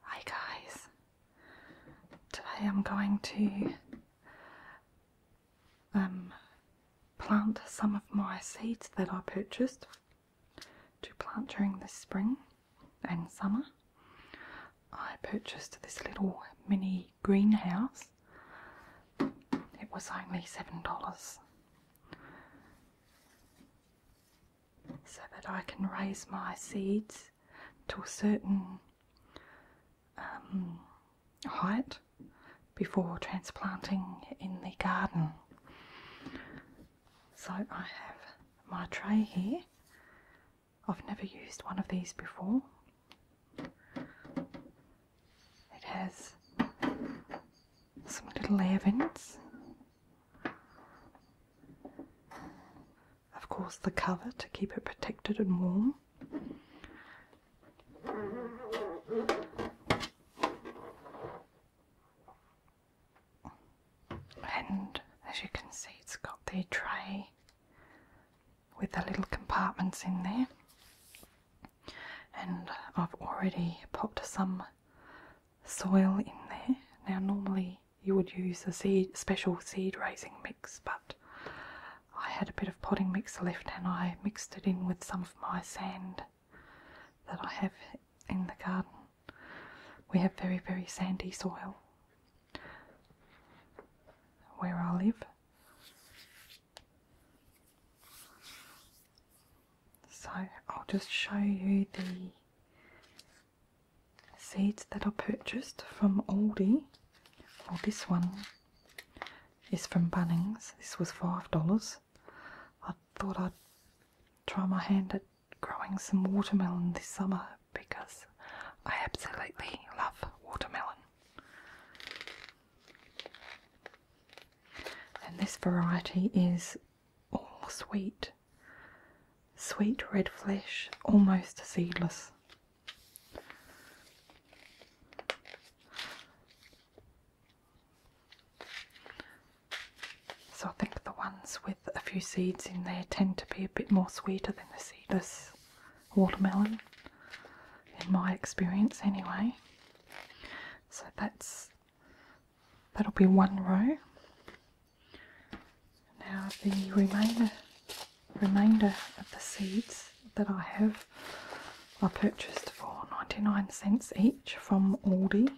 Hi guys, today I'm going to um, plant some of my seeds that I purchased to plant during the spring and summer. I purchased this little mini greenhouse. It was only $7 so that I can raise my seeds to a certain um, height before transplanting in the garden. So I have my tray here. I've never used one of these before. It has some little air of course, the cover to keep it protected and warm. And as you can see, it's got the tray with the little compartments in there. And I've already popped some soil in there. Now, normally you would use a special seed raising mix, but I had a bit of potting mix left and I mixed it in with some of my sand that I have in the garden. We have very, very sandy soil where I live. So I'll just show you the seeds that I purchased from Aldi. Well, this one is from Bunnings. This was $5. I thought I'd try my hand at growing some watermelon this summer because I absolutely love watermelon. And this variety is Oh, sweet, sweet red flesh, almost seedless. So I think the ones with a few seeds in there tend to be a bit more sweeter than the seedless watermelon, in my experience anyway. So that's That'll be one row. Now the remainder, remainder of the seeds that I have I purchased for 99 cents each from Aldi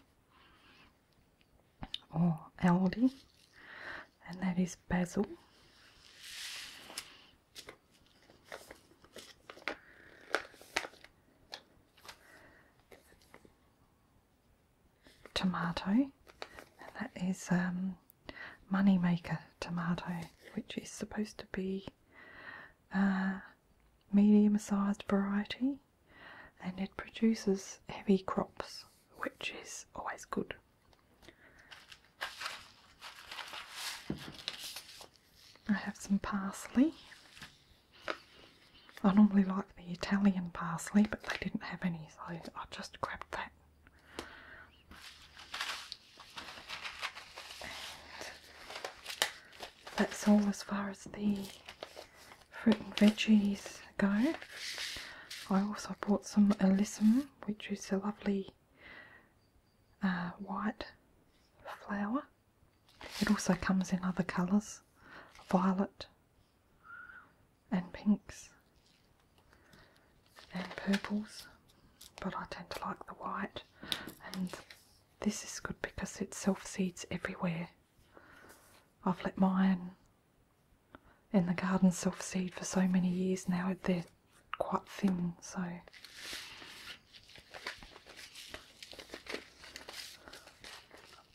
or Aldi and that is basil tomato, and that is um, moneymaker tomato, which is supposed to be uh, medium sized variety and it produces heavy crops, which is always good. I have some parsley I normally like the Italian parsley, but they didn't have any, so I just grabbed that. that's all as far as the fruit and veggies go. I also bought some alyssum, which is a lovely uh, white flower. It also comes in other colours, violet and pinks and purples, but I tend to like the white. And this is good because it self seeds everywhere. I've let mine in the garden self seed for so many years now, they're quite thin, so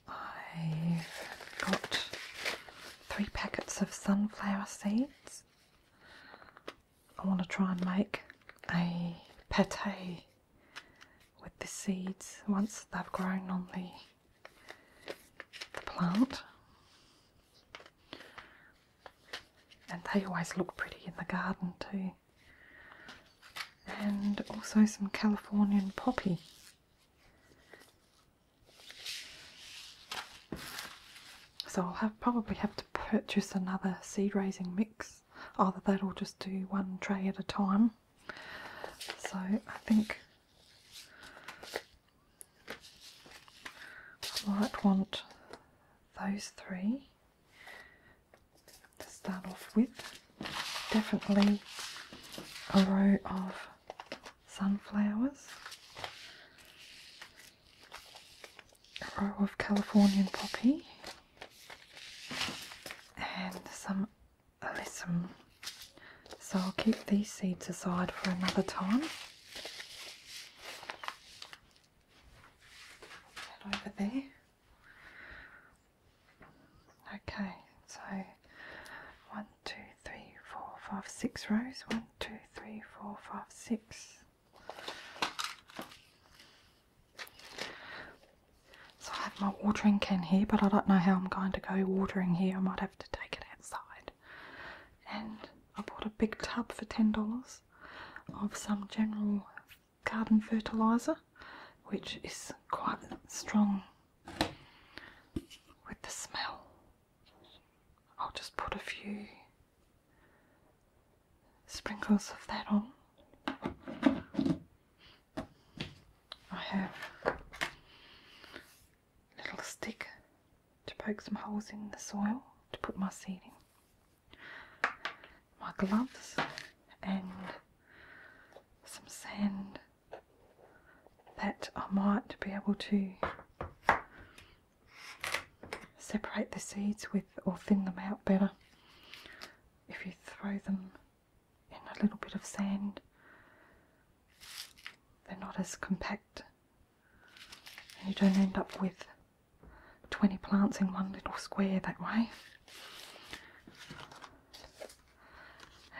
I've got three packets of sunflower seeds. I want to try and make a pate with the seeds once they've grown on the, the plant. And they always look pretty in the garden too and also some Californian poppy. So I'll have, probably have to purchase another seed raising mix. Either that or just do one tray at a time. So I think I might want those three to start off with. Definitely a row of sunflowers, a row of Californian poppy, and some alyssum. So I'll keep these seeds aside for another time. over there. Okay, so one, two, three, four, five, six rows. One, two, three, four, five, six. So I have my watering can here, but I don't know how I'm going to go watering here. I might have to take it outside. And I bought a big tub for ten dollars of some general garden fertiliser, which is quite strong with the smell. I'll just put a few sprinkles of that on. I have a little stick to poke some holes in the soil to put my seed in my gloves and some sand that I might be able to separate the seeds with or thin them out better if you throw them in a little bit of sand. They're not as compact and you don't end up with 20 plants in one little square that way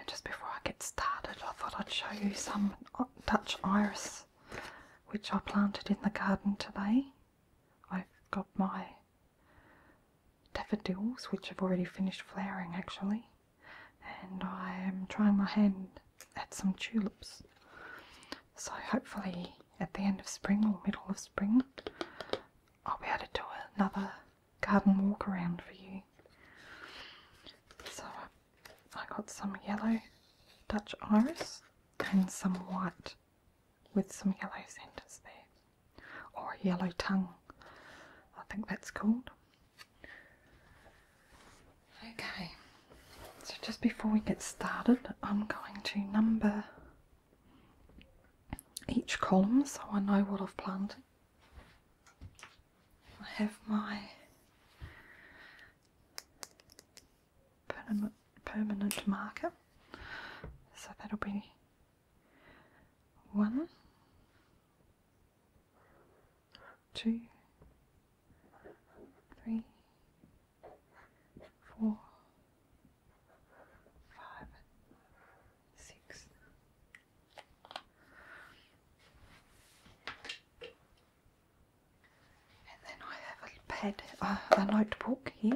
just before I get started, I thought I'd show you some Dutch iris which I planted in the garden today. I've got my daffodils which have already finished flowering actually, and I am trying my hand at some tulips. So hopefully at the end of spring or middle of spring, I'll be able to do another garden walk around for you. So I got some yellow Dutch iris and some white with some yellow centres there, or yellow tongue, I think that's called. Okay, so just before we get started, I'm going to number each column so I know what I've planned. I have my permanent, permanent marker, so that'll be one, two, three, four, five, six. And then I have a pad, a notebook here,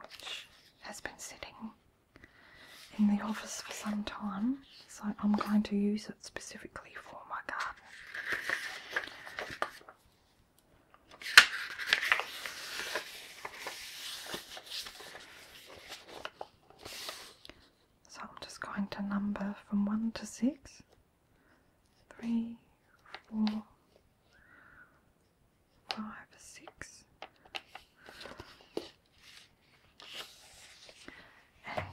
which has been sitting in the office for some time, so I'm going to use it specifically for my garden. So I'm just going to number from 1 to 6. 3, 4, 5, 6. And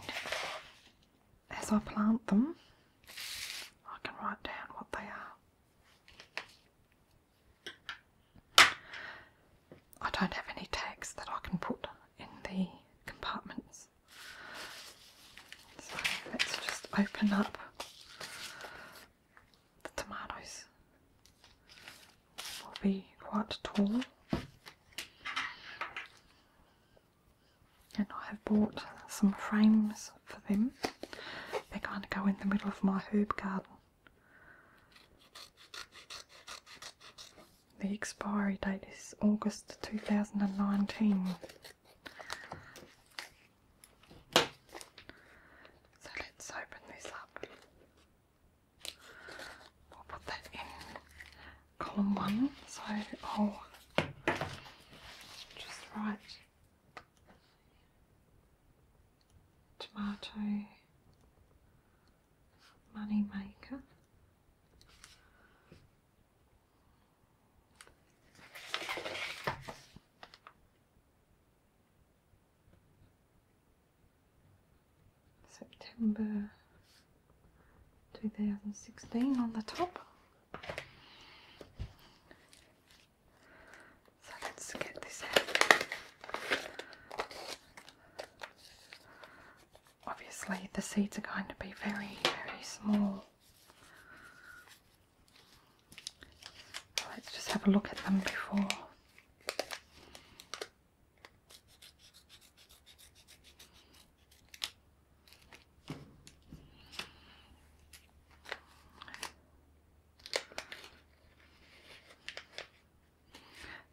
as I plant them, I can write down what they are. I don't have any tags that I can put in the compartments. So let's just open up the tomatoes. Will be quite tall. And I have bought some frames for them. They're going to go in the middle of my herb garden. The expiry date is August 2019. So let's open this up. We'll put that in column one. So i just write tomato money maker. September 2016 on the top. So let's get this out. Obviously, the seeds are going to be very, very small. let's just have a look at them before.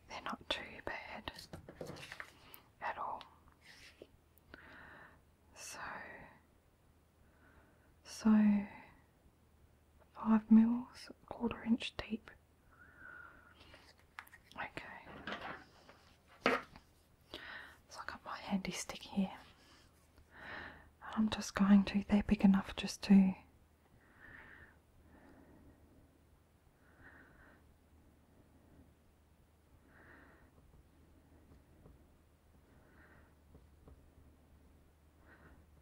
They're not too bad at all. So, so five mils, quarter inch deep. Okay. So I got my handy stick here. I'm just going to, they're big enough just to.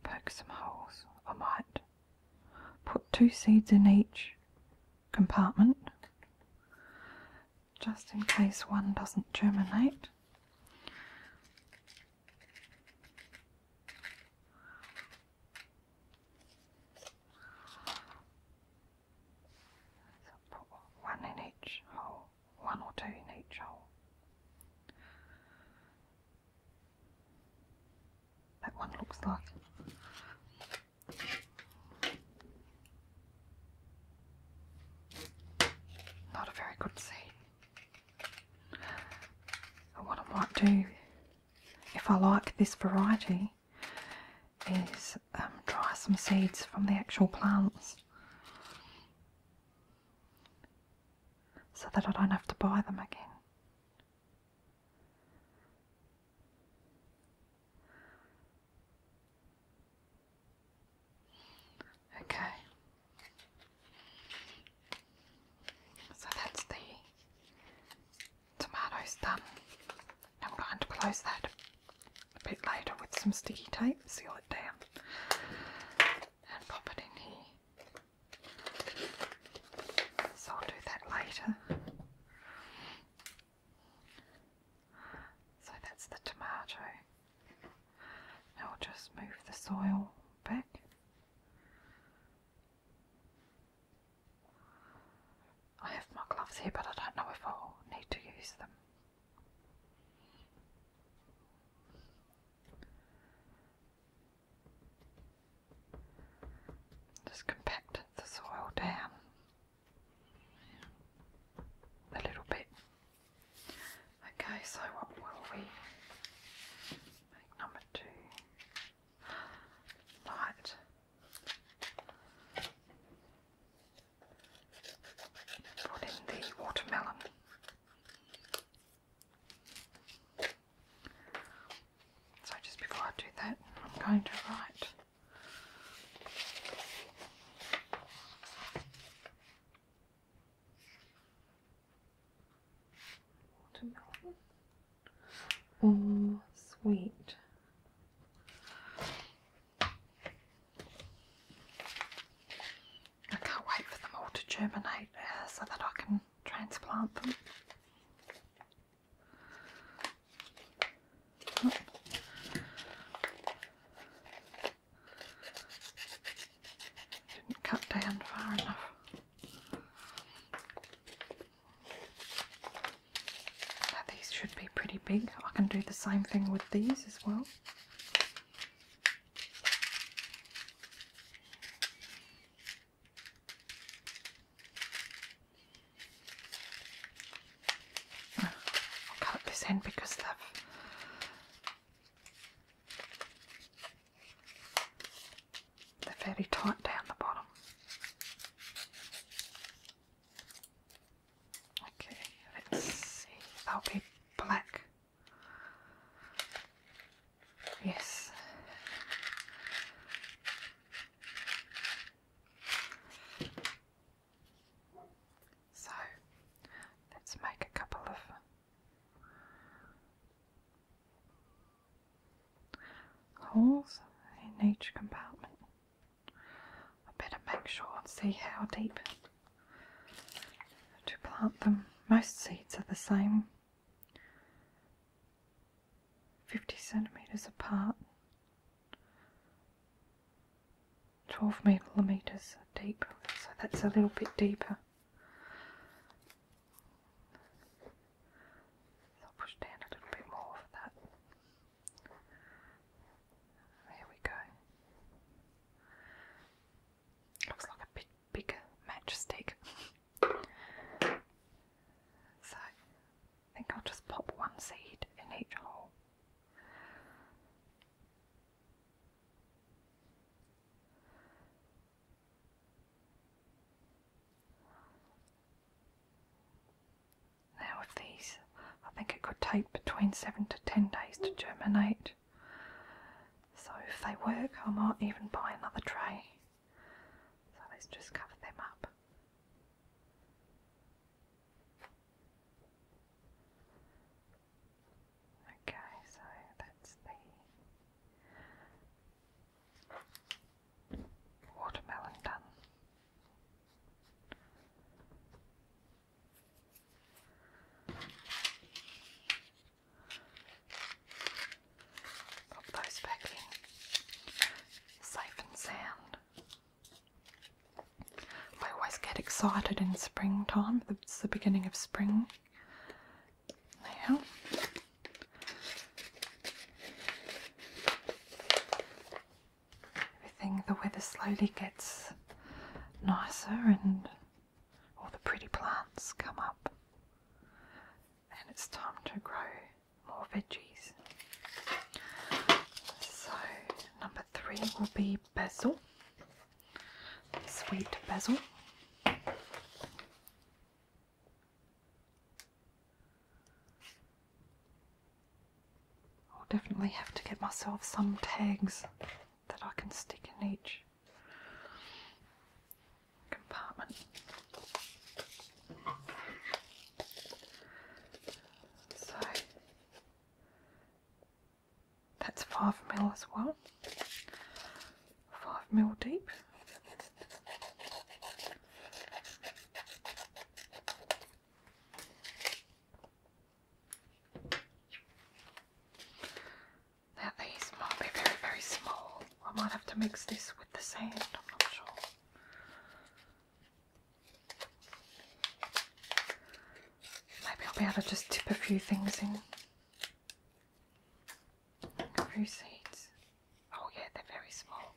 Poke some holes. I might put two seeds in each compartment just in case one doesn't germinate. So put one in each hole, one or two in each hole. That one looks like. Not a very good seed what I might do, if I like this variety, is um, try some seeds from the actual plants so that I don't have to buy them again. Okay. So that's the tomatoes done. I'm going to close that a bit later with some sticky tape, seal it down, and pop it in here. So I'll do that later. So that's the tomato. I'll just move the soil back. I have my gloves here, but I don't know if i need to use them. Just compact the soil down a little bit. Okay, so what will we make number two? Light. Put in the watermelon. So just before I do that, I'm going to write. Watermelon or oh, sweet. I can't wait for them all to germinate so that I can transplant them. Didn't cut down far enough. these should be pretty big. I can do the same thing with these as well. cut this end because they they're fairly tight down the bottom. Okay, let's see. That'll be black. Yes. So let's make a couple of Holes in each compartment. I better make sure and see how deep to plant them. Most seeds are the same, 50 centimetres apart, 12 millimetres deep, so that's a little bit deeper. I'll push down a little bit more for that. There we go. Looks like a bit bigger matchstick. so I think I'll just pop one seed in each hole. Now, with these, I think it could take between seven to ten days to germinate. So, if they work, I might even buy another tray. So, let's just cover them up. Okay, so that's the watermelon done. Pop those back in. Safe and sound. I always get excited in springtime, it's the beginning of spring, now, everything, the weather slowly gets nicer and all the pretty plants come up, and it's time to grow more veggies. So, number three will be basil sweet basil. I'll definitely have to get myself some tags that I can stick in each compartment. So that's five mil as well. Five mil deep. Now might be very, very small. I might have to mix this with the sand, I'm not sure. Maybe I'll be able to just tip a few things in. Crusades. Oh yeah, they're very small.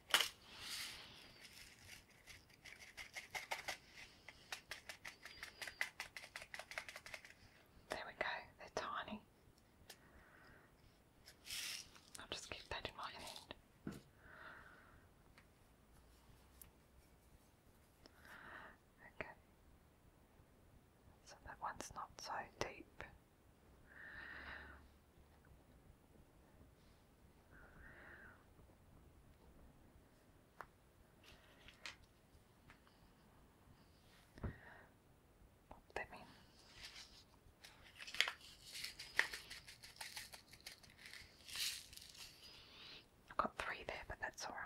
There we go, they're tiny. I'll just keep that in my hand. Okay. So that one's not so deep. Pop them in. I've got three there, but that's alright.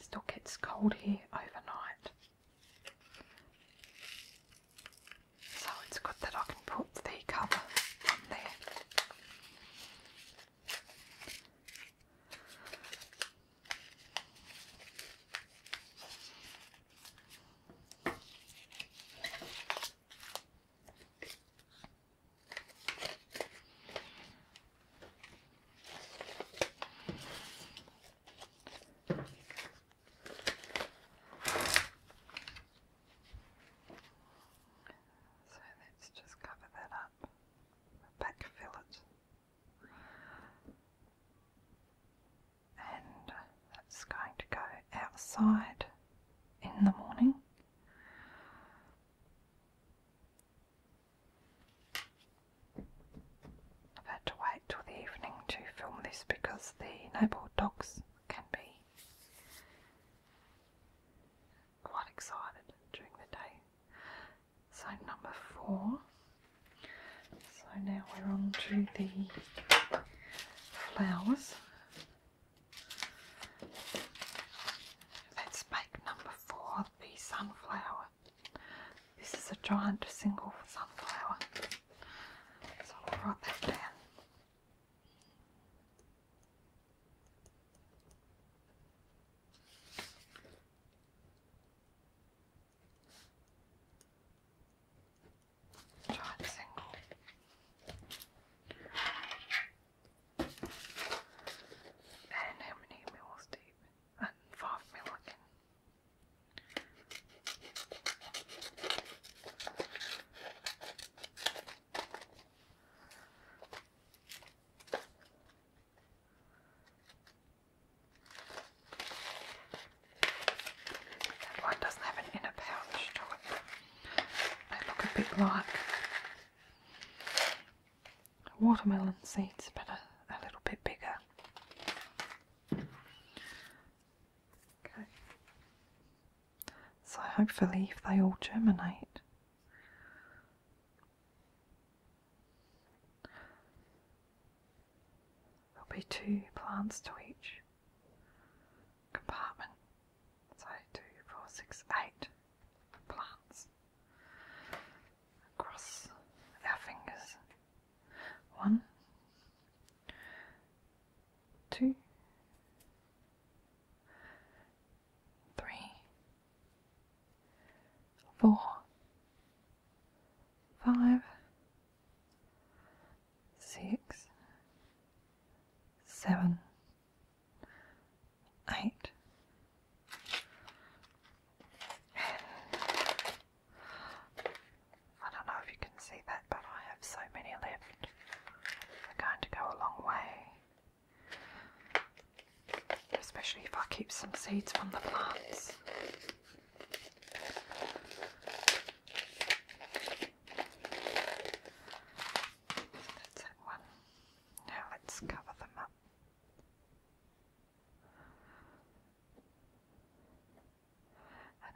Still gets cold here overnight. So it's good that I can put the cover on there. So let's just cover that up with back And that's going to go outside in the morning. I've had to wait till the evening to film this because the noble dogs can be quite excited during the day. So, number four. So, now we're on to the flowers. Let's make number four the sunflower. This is a giant single sunflower, so I'll write that down. Giant single. I do how many mils deep. Uh, five mil That one doesn't have an inner pouch to it. They look a bit like Watermelon seeds, but a, a little bit bigger. Okay. So hopefully, if they all germinate, there'll be two plants to each compartment. So two, four, six, eight plants across our fingers. One, two, three, four, five, six, seven, eight. I don't know if you can see that, but I have so many left. They're going to go a long way, especially if I keep some seeds from the plants. That's that one. Now let's cover them up.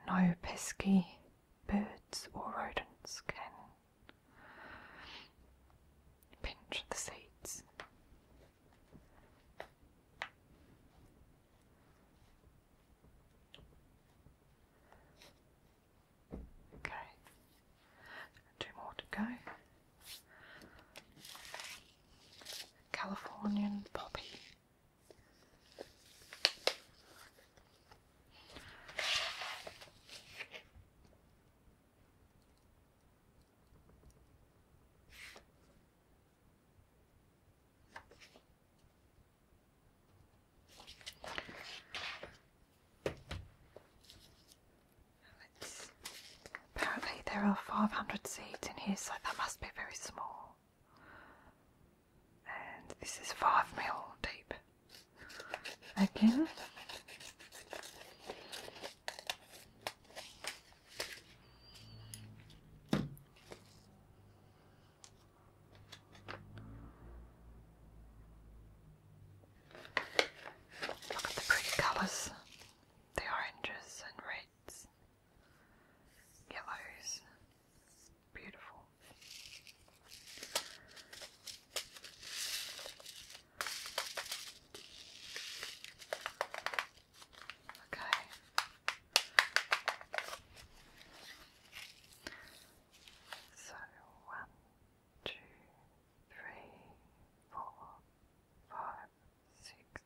no pesky birds or rodents can pinch the seeds. Okay. Two more to go. Californian poppy apparently there are 500 seats in here, so that must be very small. And this is 5 mil deep. Again, Look at the pretty colours. The oranges and reds, yellows. Beautiful. Okay. So one, two, three, four, five, six,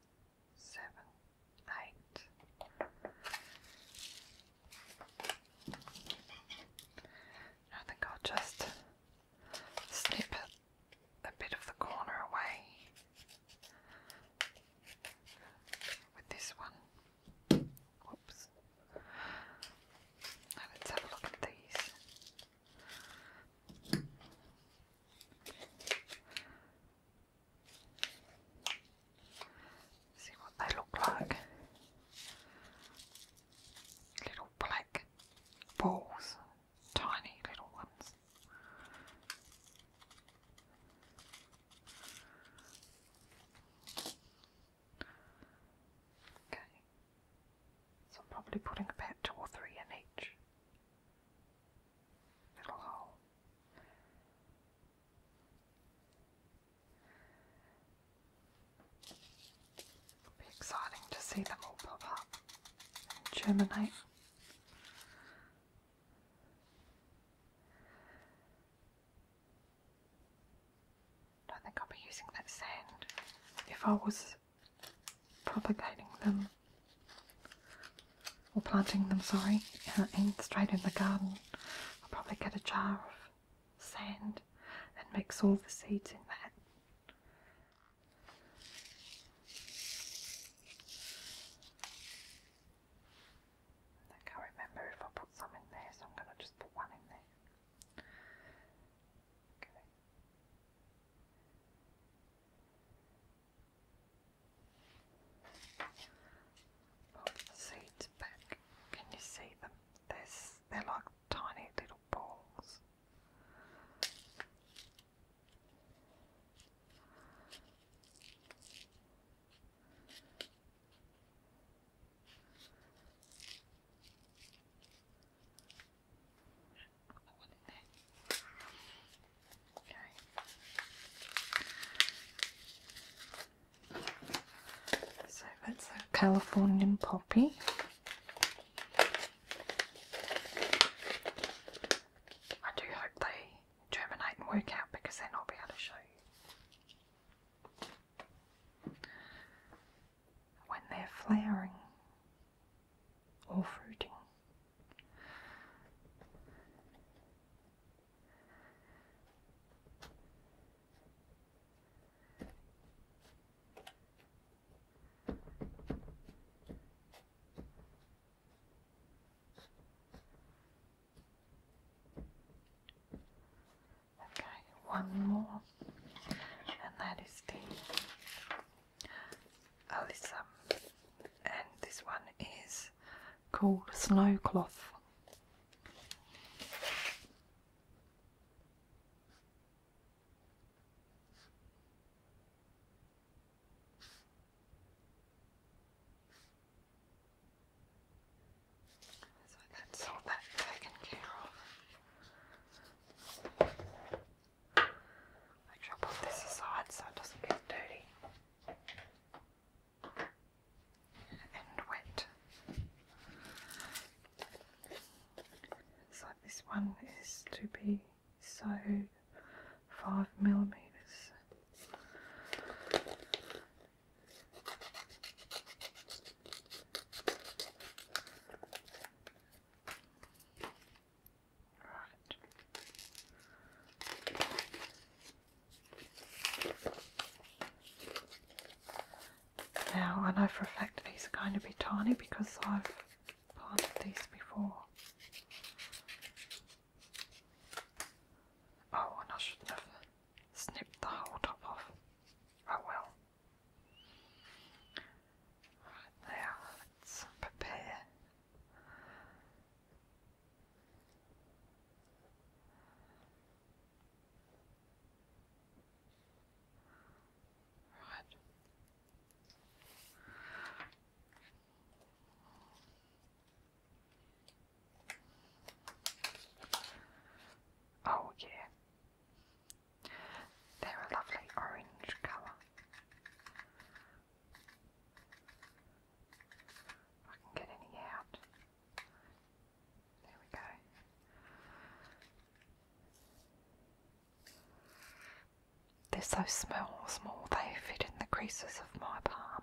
seven, eight. I think I'll just snip a bit of the corner away with this one. Whoops let's have a look at these. See what they look like. Little black balls, tiny little ones. Okay. So I'm probably putting about two or three in each little hole. It'll be exciting to see them all pop up and germinate. Don't think I'll be using that sand if I was propagating them or planting them, sorry, straight in the garden. I'll probably get a jar of sand and mix all the seeds in that. I can't remember if I put some in there, so I'm going to just put one in there. Okay. the seeds back. Can you see them? There's, they're like tiny little balls. So that's the Californian poppy. I do hope they germinate and work out because then I'll be able to show you when they're flowering or fruiting. Okay, one more, and that is the Alyssa, and this one is called Snow Cloth. So that's put this aside so it doesn't get dirty and wet. So this one is to be sewed five millimeters now I know for a fact these are going to be tiny because I've planted these before. Oh, and I shouldn't have snipped the whole top off. Oh well. Right there, let's prepare. Right. Oh, yeah, they're a lovely orange colour. If I can get any out. There we go. They're so small, small they fit in the creases of my palm.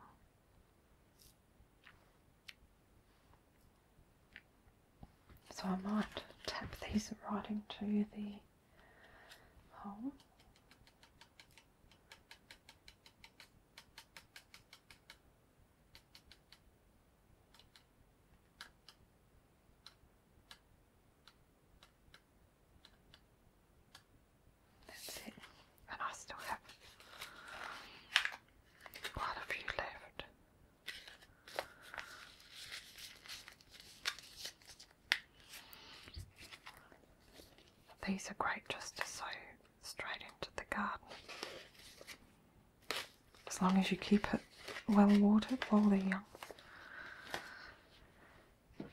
So I might tap these right into the hole. That's it. And I still have quite a few left. These are great just to sow straight into the garden. As long as you keep it well watered while they're young. Okay,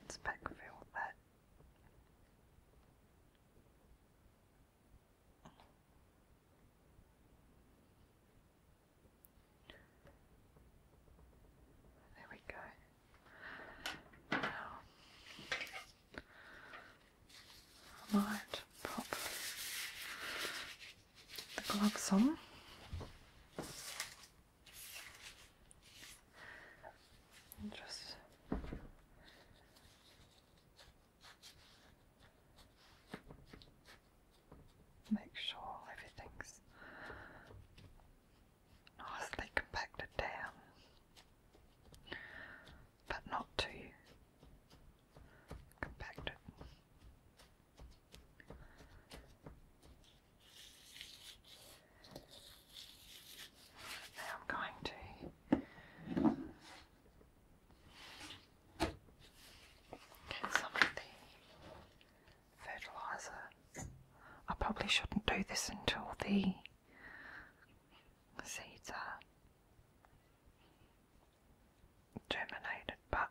let's backfill that. There we go. Now, I might pop the gloves on. just Make sure everything's nicely compacted down, but not too compacted. I'm going to some of the fertiliser. I probably shouldn't do this until the seeds are germinated, but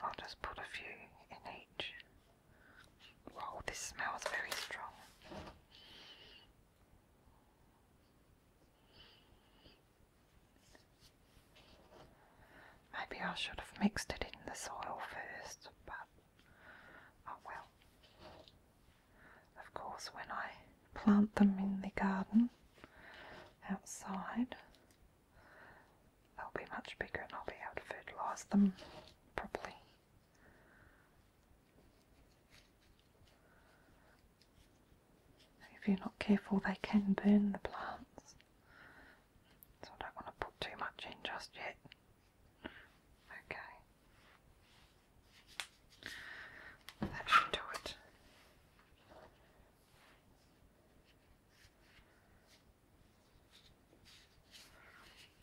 I'll just put a few in each. Wow, this smells very strong. Maybe I should have mixed it in the soil first, but oh well. Of course, when I plant them in the garden outside, they'll be much bigger and I'll be able to fertilise them properly. If you're not careful, they can burn the plants. So I don't want to put too much in just yet. Okay. That should do it.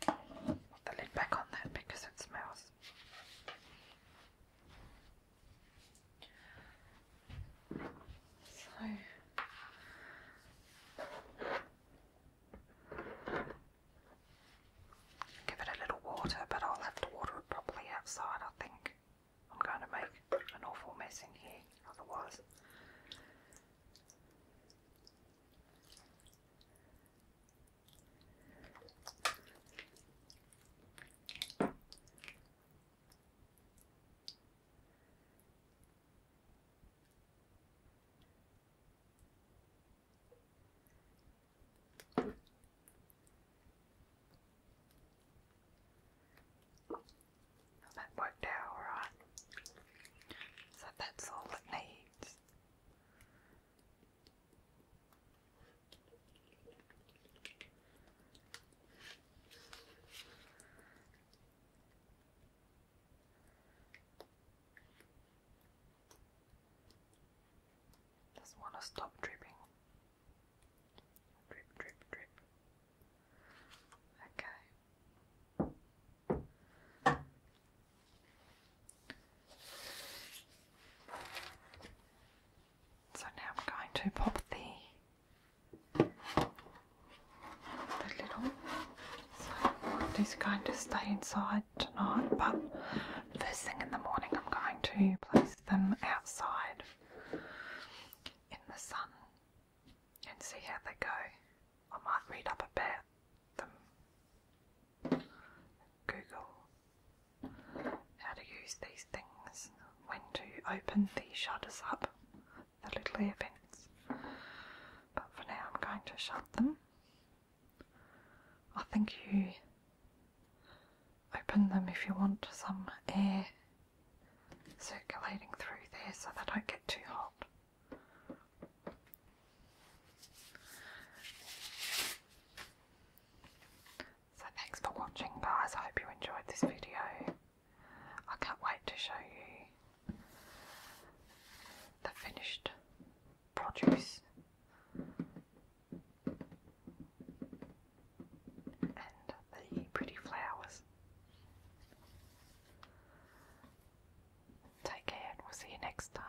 Put the lid back on that because it smells. So give it a little water, but I'll have to water it properly outside, I think. I'm going to make an awful mess in here otherwise. That worked out right. So that's all it needs. Just want to stop dripping. Drip, drip, drip. Okay. So now I'm going to pop the, the little. So these are going stay inside tonight, but first thing in the morning I'm going to place them outside in the sun and see how they go. I might read up about them. Google how to use these things, when to open the shutters up, the little air vents. But for now, I'm going to shut them. I think you open them if you want some air circulating through there so they don't get too hot. So thanks for watching guys, I hope you enjoyed this video. I can't wait to show you the finished produce and the pretty flowers. Take care and we'll see you next time.